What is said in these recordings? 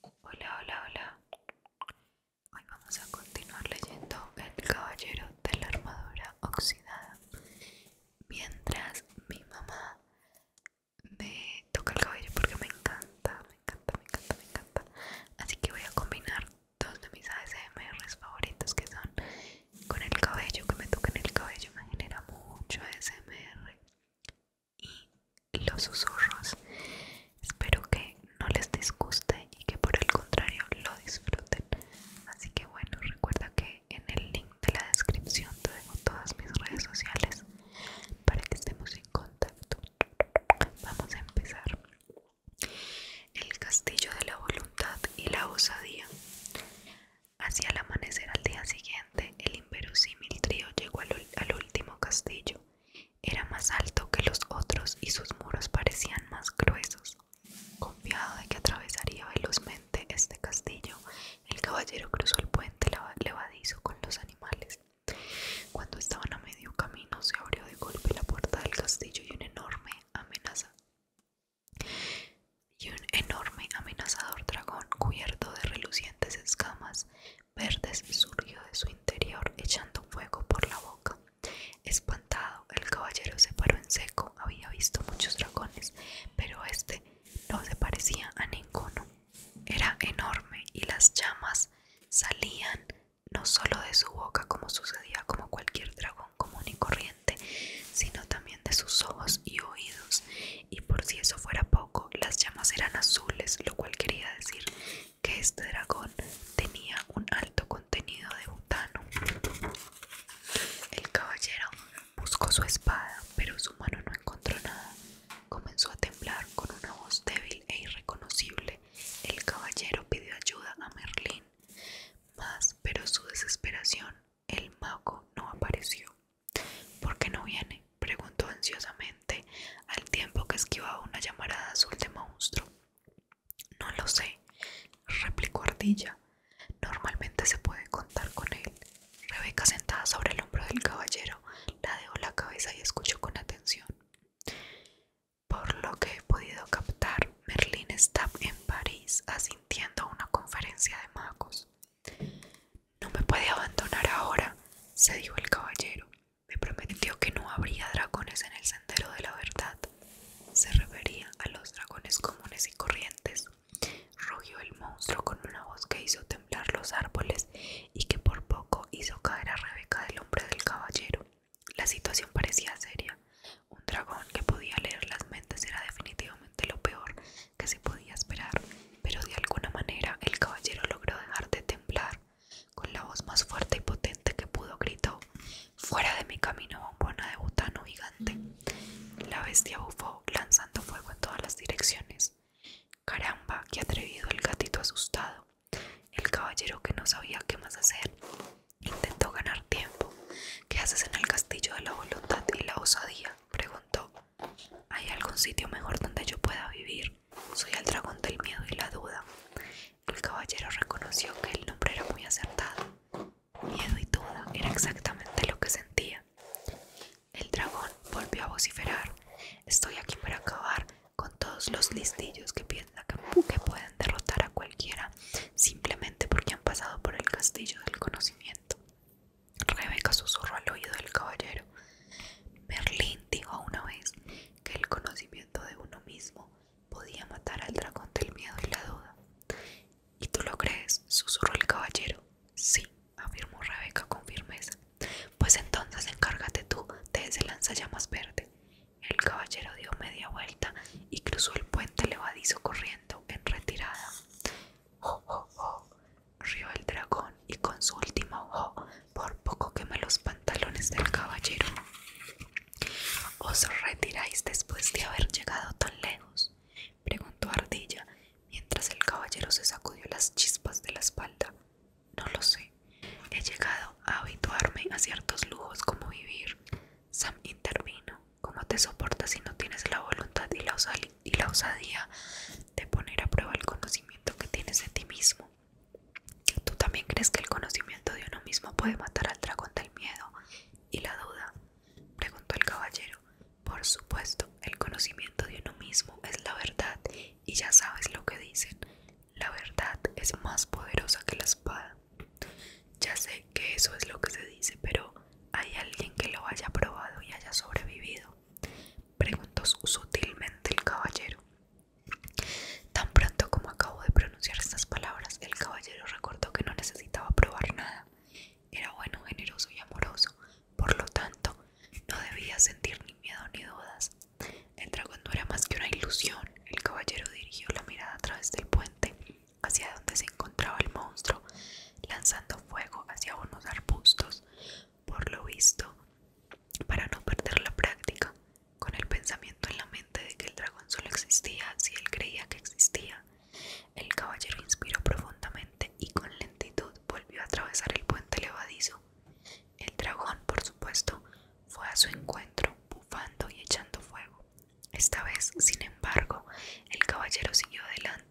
Hola, hola, hola. Hoy vamos a continuar leyendo El Caballero de la Armadura Oxidada. Mientras mi mamá me toca el cabello porque me encanta, me encanta, me encanta, me encanta. Así que voy a combinar dos de mis ASMRs favoritos que son con el cabello, que me toquen el cabello me genera mucho ASMR y los susurros. Espero que no les disguste y que por el contrario lo disfruten. Así que bueno, recuerda que en el link de la descripción te dejo todas mis redes sociales para que estemos en contacto. Vamos a empezar. El castillo de la voluntad y la osadía. Hacia el amanecer al día siguiente el inverosímil trío llegó al, último castillo. Era más alto que los otros y sus muros parecían más gruesos. Confiado de que atravesaría velozmente este castillo, el caballero cruzó el puente levadizo con los animales. Cuando estaban a medio camino, se abrió de golpe la puerta del castillo y un enorme amenaza y un enorme amenazador dragón cubierto de relucientes escamas verdes surgió de su interior echando fuego por la boca. Espantado, el caballero se paró en seco. Había visto muchos dragones, pero este no se parecía a ninguno. Era enorme y las llamas salían no solo de su boca como sucedía como cualquier dragón común y corriente, sino también de sus ojos y oídos. Y por si eso fuera poco, las llamas eran azules, lo cual quería decir que este dragón tenía un alto contenido de butano. El caballero buscó su espada, pero su mano no encontró nada. Comenzó a temblar con una voz débil e irreconocible. El caballero pidió ayuda a Merlín, más pero su desesperación, el mago no apareció. ¿Por qué no viene? preguntó ansiosamente al tiempo que esquivaba una llamarada azul de monstruo. No lo sé, replicó Ardilla. Normalmente se puede contar con él. Rebeca, sentada sobre el hombro del caballero, ladeó la cabeza y escuchó con atención. Por lo que he podido captar, Merlín está en París asintiendo a una conferencia de magos. No me puede abandonar ahora, se dijo el caballero. Me prometió que no habría dragones en el sendero de la verdad. Se refería a los dragones comunes y corrientes. Rugió el monstruo con una voz que hizo temblar los árboles y que por poco hizo caer a Rebeca del hombre del caballero. La situación parecía seria. Un dragón que podía leer las mentes era definitivamente lo peor que se podía esperar pero de alguna manera el caballero logró dejar de temblar. Con la voz más fuerte y potente que pudo gritó Fuera de mi camino, bombona de butano gigante. La bestia bufó, lanzando fuego en todas las direcciones. Caramba, qué atrevido el gatito asustado. El caballero que no sabía qué más hacer. Intentó ganar tiempo. ¿Qué haces en el castillo de la voluntad y la osadía? preguntó. ¿Hay algún sitio mejor donde yo pueda vivir? Soy el dragón del miedo y la duda. El caballero reconoció que el nombre era muy acertado. Miedo y duda era exactamente lo que sentía. El dragón volvió a vociferar. Estoy aquí para acabar con todos los listillos que piensan que pueden derrotar a cualquiera simplemente porque han pasado por el castillo del conocimiento. Rebeca susurró al oído del caballero. Merlín dijo una vez que el conocimiento de uno mismo podía matar al dragón del miedo y la duda. ¿Y tú lo crees? susurró el caballero. Sí, afirmó Rebeca con firmeza. Pues entonces encárgate tú de ese lanzallamas verde. El caballero dio media vuelta y cruzó el puente levadizo corriendo en retirada. ¡Oh, oh, Río el dragón y con su último ojo por poco quema los pantalones del caballero. ¿Os retiráis después de haber llegado tan lejos? preguntó Ardilla mientras el caballero se sacudió las chispas de la espalda. No lo sé. He llegado a habituarme a ciertos lujos como vivir. Sam intervino. ¿Cómo te soportas si no tienes la voluntad y la, y la osadía de poner a prueba el conocimiento que tienes de ti mismo. ¿Tú también crees que el conocimiento de uno mismo puede matar al dragón del miedo y la duda? Preguntó el caballero. Por supuesto, el conocimiento de uno mismo es la verdad y ya sabes lo que dicen. La verdad es más poderosa que la espada. Ya sé que eso es lo que se dice, pero ¿hay alguien que lo haya probado y haya sobrevivido? preguntó sutilmente el caballero. Tan pronto como acabó de pronunciar estas palabras, el caballero recordó que no necesitaba probar nada. Era bueno, generoso y amoroso, por lo tanto, no debía sentir ni miedo ni dudas. El dragón no era más que una ilusión. El caballero dirigió la mirada a través del puente hacia donde se encontraba el monstruo, lanzando fuego hacia unos arbustos, por lo visto, para no perder la práctica, con el pensamiento en la mente de que el dragón solo existía si él creía que existía. El caballero inspiró profundamente y con lentitud volvió a atravesar el puente levadizo. El dragón, por supuesto, fue a su encuentro, bufando y echando fuego. Esta vez, sin embargo, el caballero siguió adelante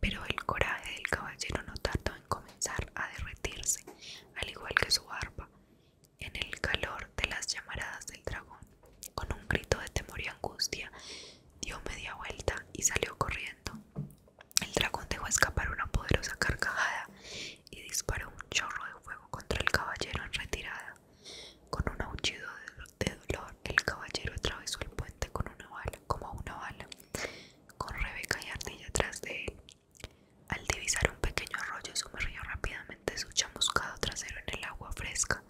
pero el coraje del caballero no tardó en comenzar a derretirse, al igual que su barba, en el calor de las llamaradas del dragón. Con un grito de temor y angustia, dio media vuelta y salió corriendo. El dragón dejó escapar una poderosa carcajada y disparó un chorro de fuego contra el caballero en retirada. Con un aullido de dolor, el caballero atravesó el puente este, con una bala, como una bala, con Rebeca y Ardilla atrás de él. Al divisar un pequeño arroyo sumergió rápidamente su chamuscado trasero en el agua fresca,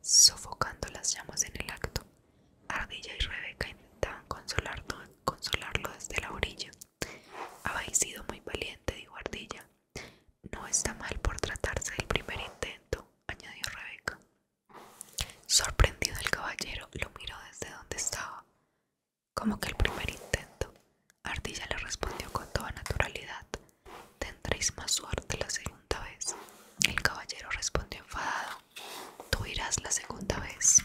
sofocando las llamas en el acto. Ardilla y Rebeca intentaban consolarlo, consolarlo desde la orilla. Habéis sido muy valiente, dijo Ardilla. No está mal por tratarse del primer intento, añadió Rebeca. Sorprendido el caballero lo miró desde donde estaba. Como que el primer intento, Ardilla le respondió con toda naturalidad. Tendréis más suerte la segunda vez. El caballero respondió enfadado. Tú irás la segunda vez.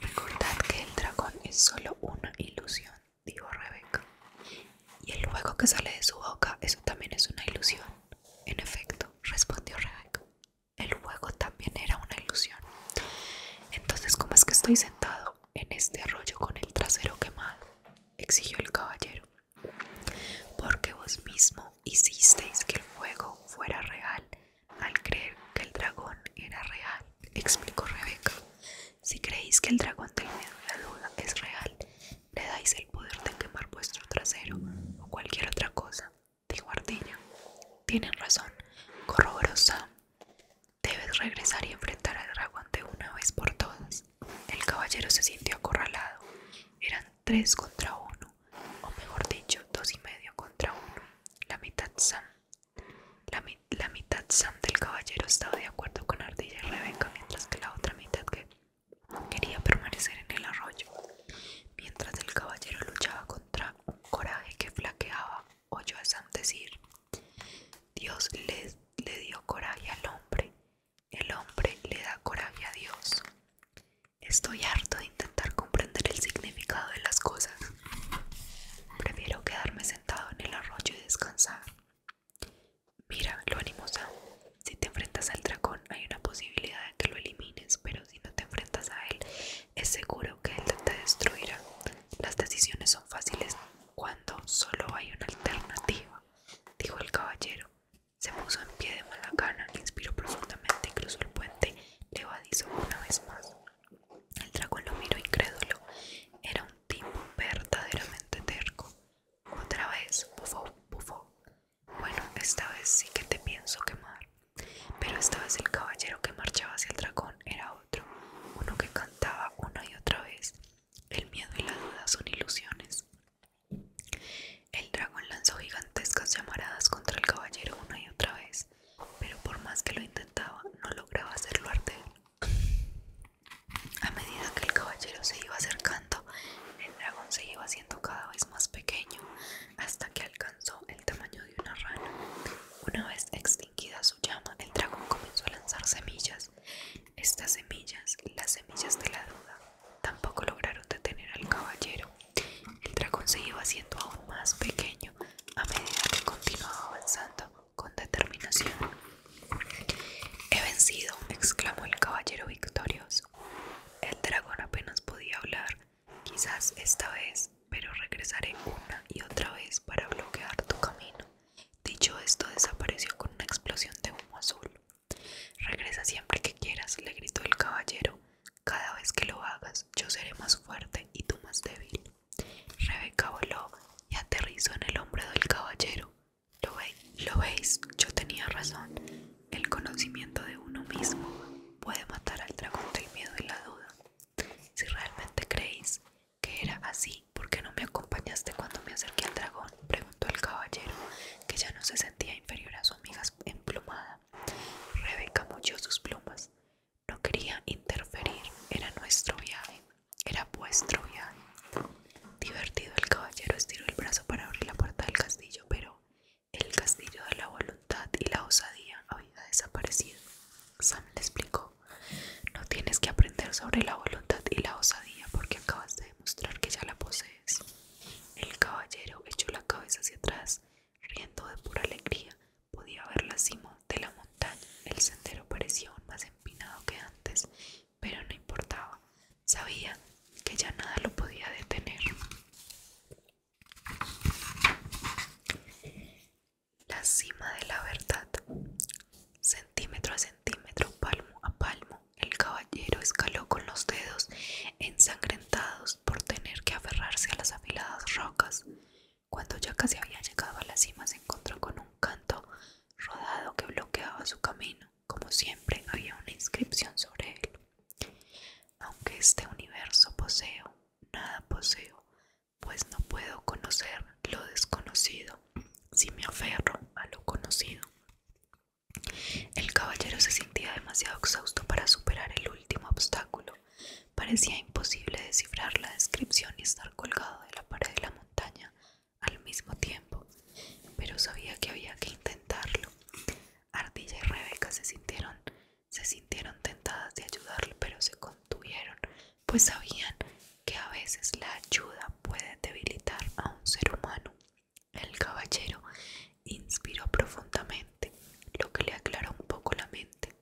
Recordad que el dragón es solo una ilusión, dijo Rebeca. Y el fuego que sale de su boca, eso también es una ilusión. En efecto, respondió Rebeca. El fuego también era una ilusión. Entonces, ¿cómo es que estoy sentado en este arroyo con el trasero quemado? exigió el caballero. Porque vos mismo hicisteis que el fuego fuera real al creer que el dragón era real, explicó Rebeca. Si creéis que el dragón del miedo la duda es real, le dais el poder de quemar vuestro trasero o cualquier otra cosa, dijo Ardilla. Tienen razón, corroboró Sam. Debes regresar y enfrentar al dragón de una vez por todas. El caballero se sintió acorralado. Eran tres contra uno, o mejor dicho, dos y medio contra uno. La mitad Sam. La, mitad Sam del caballero estaba de acuerdo con Ardilla y Rebeca, mientras que la otra mitad que Quería permanecer en el arroyo. Mientras el caballero luchaba contra un coraje que flaqueaba, oyó a Sam decir, Dios le dio coraje al hombre, el hombre le da coraje a Dios. Estoy harto de intentar comprender el significado de las cosas. Prefiero quedarme sentado en el arroyo y descansar. Mira, lo animosa. Si te enfrentas al dragón, hay una posibilidad de que lo elimines, pero si no te enfrentas a él, es seguro que él te destruirá. Las decisiones son fáciles cuando solo hay una alternativa, dijo el caballero. Se puso en pie de mala gana, inspiró profundamente y cruzó el puente levadizo una vez más. El dragón lo miró incrédulo. Era un tipo verdaderamente terco. Otra vez, bufó, bufó. Bueno, esta vez sí que te pienso quemar. Pero esta vez el caballero que marchaba hacia el dragón era otro, uno que cantaba una y otra vez. El miedo y la duda son ilusiones. El dragón lanzó gigantescas llamaradas contra el caballero una y otra vez, pero por más que lo intentaba, no lograba hacerlo arder. A medida que el caballero se iba acercando, el dragón se iba haciendo cada vez más pequeño hasta que alcanzó el tamaño de una rana. Una vez extinguida su llama, el dragón comenzó a lanzar semillas. Estas semillas, las semillas de la duda, tampoco lograron detener al caballero. El dragón se iba haciendo aún más pequeño a medida que continuaba avanzando con determinación. He vencido, exclamó el caballero victorioso. El dragón apenas podía hablar, quizás esta vez, pero regresaré una y otra vez para bloquear tu camino. Dicho esto, desapareció con una explosión de humo azul. Regresa siempre que quieras, le gritó el caballero. Cada vez que lo hagas, yo seré más fuerte y tú más débil. Rebeca voló y aterrizó en el hombro del caballero. ¿Lo, veis? Yo tenía razón. El conocimiento de uno mismo puede matar al dragón del miedo y la duda. Si realmente creéis que era así, ¿por qué no me acompañaste cuando me acerqué al dragón? Preguntó el caballero, que ya no se sentía inferior a su amiga emplumada. Rebeca mochió sus plumas. No quería interferir, era nuestro viaje. Era vuestro viaje. Divertido, el caballero estiró el brazo para abrir la puerta del castillo, pero el castillo de la voluntad y la osadía había desaparecido. Sam le explicó, no tienes que aprender sobre la voluntad y la osadía porque acabas de demostrar que ya la posees. El caballero echó la cabeza hacia atrás, riendo de pura alegría. Podía ver la cima de la montaña. El sendero parecía aún más empinado que antes, pero no importaba, sabía que ya nada lo podía detener. La cima de la verdad, centímetro a centímetro, palmo a palmo, el caballero escaló con los dedos ensangrentados por tener que aferrarse a las afiladas rocas. Cuando ya casi había llegado a la cima, se encontró con un canto rodado que bloqueaba su camino. Como siempre, había una inscripción sobre él. Aunque este universo poseo, nada poseo, pues no puedo conocer lo desconocido si me aferro a lo conocido. El caballero se sentía demasiado exhausto para superar el último obstáculo. Parecía imposible descifrar la descripción y estar colgado de la pared de la montaña al mismo tiempo, pero sabía que había que intentarlo. Ardilla y Rebeca se sintieron, se sintieron tentadas de ayudarle, pero se contuvieron, pues sabían que a veces la ayuda puede debilitar a un ser humano. El caballero inspiró profundamente, lo que le aclaró un poco la mente.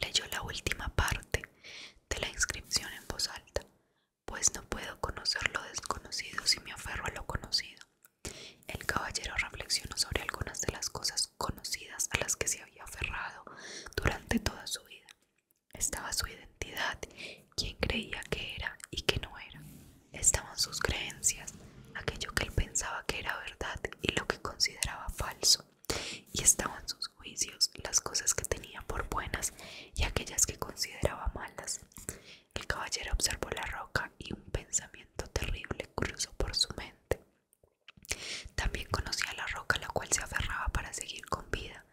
Leyó la última parte de la inscripción en voz alta pues no puedo conocer lo desconocido si me aferro a lo conocido. El caballero reflexionó sobre algunas de las cosas conocidas a las que se había aferrado durante toda su vida. Estaba su identidad, quién creía que era y que no era. Estaban sus creencias, aquello que él pensaba que era verdad y lo que consideraba falso. Y estaban sus juicios, las cosas que tenía por buenas y aquellas que consideraba malas. El caballero observó la roca y un pensamiento terrible cruzó por su mente. También conocía la roca a la cual se aferraba para seguir con vida.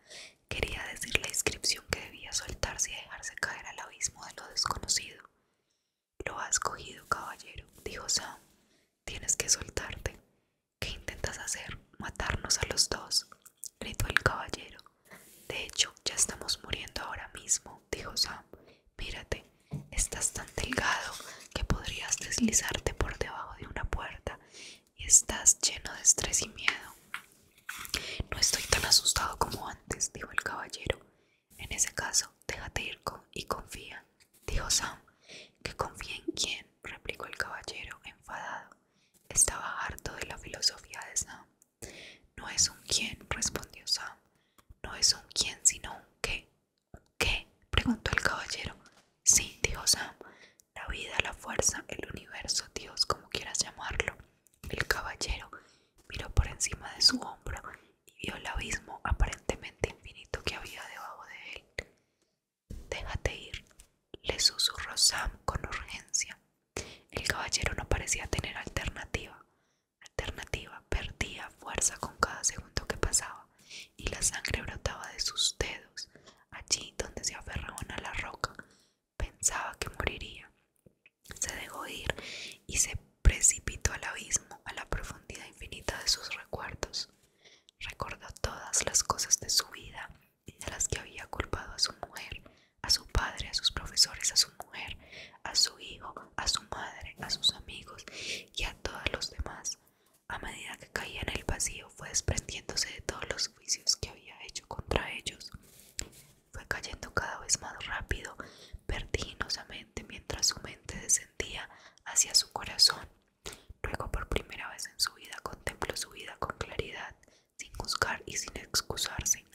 Quería decir la inscripción que debía soltarse y dejarse caer al abismo de lo desconocido. Lo has cogido, caballero, dijo Sam. Tienes que soltarte. ¿Qué intentas hacer? ¿Matarnos a los dos? gritó el caballero. De hecho, ya estamos muriendo ahora mismo, dijo Sam. Mírate, estás tan delgado que podrías deslizarte por debajo de una puerta y estás lleno de estrés y miedo. No estoy tan asustado como antes, dijo el caballero. En ese caso, déjate ir y confía, dijo Sam. ¿Que confía en quién? replicó el caballero enfadado. Estaba harto de la filosofía de Sam. No es un quién, respondió Sam. No es un quién, sino un qué. qué? preguntó el caballero. Sí, dijo Sam. La vida, la fuerza, el universo, Dios, como quieras llamarlo. El caballero miró por encima de su hombro y vio el abismo aparentemente infinito que había debajo de él. Déjate ir, le susurró Sam con urgencia. El caballero no parecía tener alternativa. Alternativa perdía fuerza con cada segundo que pasaba y la sangre brotaba de sus dedos, allí donde se aferraban a la roca. Pensaba que moriría. Se dejó ir y se precipitó al abismo, a la profundidad infinita de sus recuerdos. Recordó todas las cosas de su vida de las que había culpado a su mujer, a su padre, a sus profesores, a su mujer, a su hijo, a su madre, a sus amigos y a todos los demás. A medida que caía en el vacío fue desprendiéndose de todos los juicios que había hecho contra ellos. Fue cayendo cada vez más rápido, vertiginosamente, mientras su mente descendía hacia su corazón. Luego por primera vez en su vida contempló su vida con claridad, sin juzgar y sin excusarse.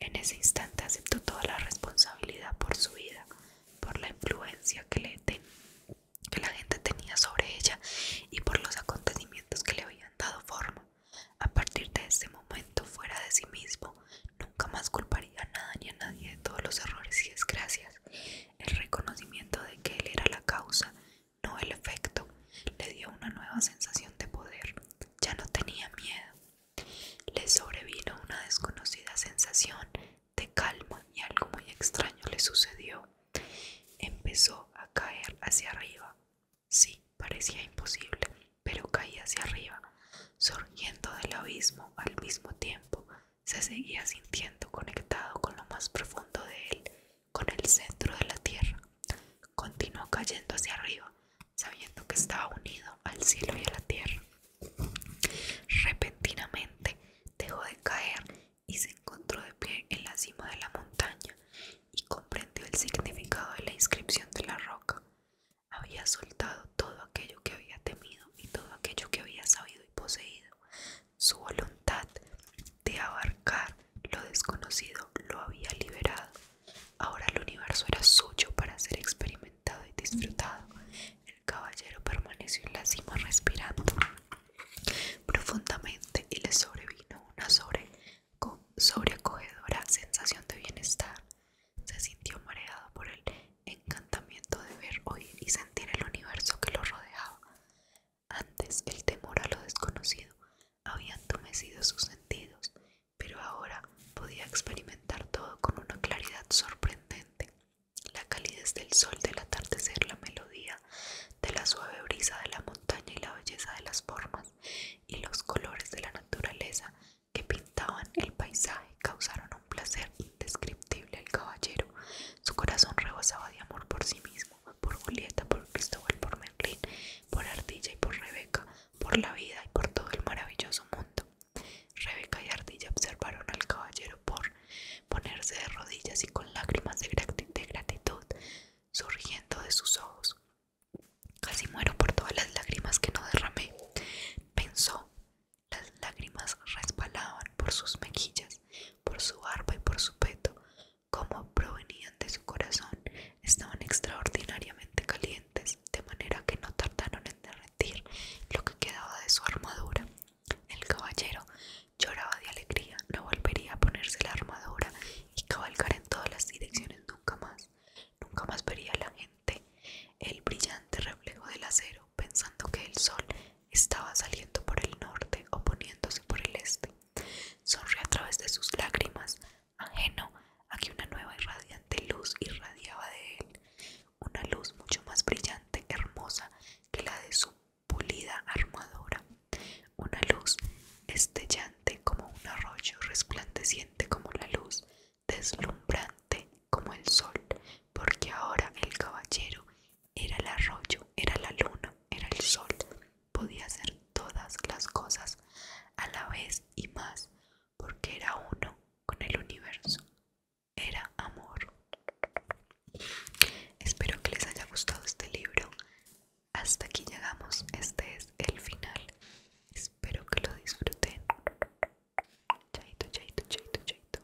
En ese instante aceptó toda la responsabilidad por su vida, por la influencia que, la gente tenía sobre ella y por los acontecimientos que le habían dado forma. A partir de ese momento, fuera de sí mismo, nunca más culparía a nada ni a nadie de todos los errores y desgracias. El reconocimiento de que él era la causa no el efecto, le dio una nueva sensación de poder. Ya no tenía miedo. Le sobrevino una desconocida sensación de calma y algo muy extraño le sucedió. Empezó a caer hacia arriba. Sí, parecía imposible, pero caía hacia arriba, surgiendo del abismo al mismo tiempo. Se seguía sintiendo conectado con lo más profundo de él con el centro de la tierra. Continuó cayendo hacia arriba, sabiendo que estaba unido al cielo y a la tierra. Repentinamente dejó de caer y se encontró de pie en la cima de la montaña y comprendió el significado de la inscripción de la roca. Había soltado todo aquello que había temido y todo aquello que había sabido y poseído. Su voluntad de abarcar lo desconocido lo había liberado. Ahora el universo era suyo para ser experimentado y disfrutado. El caballero permaneció en la cima respirando profundamente y le sobrevino una sobre, sobreacogedora sensación de bienestar. Se sintió mareado por el encantamiento de ver, oír y sentir el universo que lo rodeaba. Antes el temor a lo desconocido había entumecido sus sentidos, pero ahora podía experimentar todo con una claridad sorprendente. La calidez del sol del atardecer, la melodía de la suave brisa de la montaña y la belleza de las formas y los colores de la naturaleza que pintaban el paisaje causaron un placer indescriptible al caballero. Su corazón rebosaba de amor por sí mismo por Julieta, por Cristóbal, por Merlín, por Ardilla y por Rebeca, por la vida y por todo el maravilloso mundo. Rebeca y Ardilla observaron al caballero por ponerse de rodillas y con lágrimas de gratitud surgiendo de sus ojos. Casi muero por todas las lágrimas que no derramé, pensó. Las lágrimas resbalaban por sus mejillas por su barba y por su peto, como provenían de su corazón, estaban extraordinariamente calientes, de manera que no tardaron en derretir lo que quedaba de su armadura. El caballero lloraba de alegría, no volvería a ponerse la armadura y cabalgar en todas las direcciones nunca más. Nunca más vería a la gente el brillante reflejo del acero pensando que el sol estaba saliendo por el norte o poniéndose por el este. Sonrió a través de sus lágrimas, ajeno a que una nueva y radiante luz irradiaba de él, una luz mucho más brillante, hermosa que la de su pulida armadura, una luz estellante como un arroyo, resplandeciente como la luz, deslumbrante como el sol, porque ahora el caballero era el arroyo, era la luna, era el sol. Podía hacer todas las cosas a la vez y más, porque era uno con el universo. Era amor. Espero que les haya gustado este libro. Hasta aquí llegamos. Este es el final. Espero que lo disfruten. Chaito, chaito, chaito, chaito.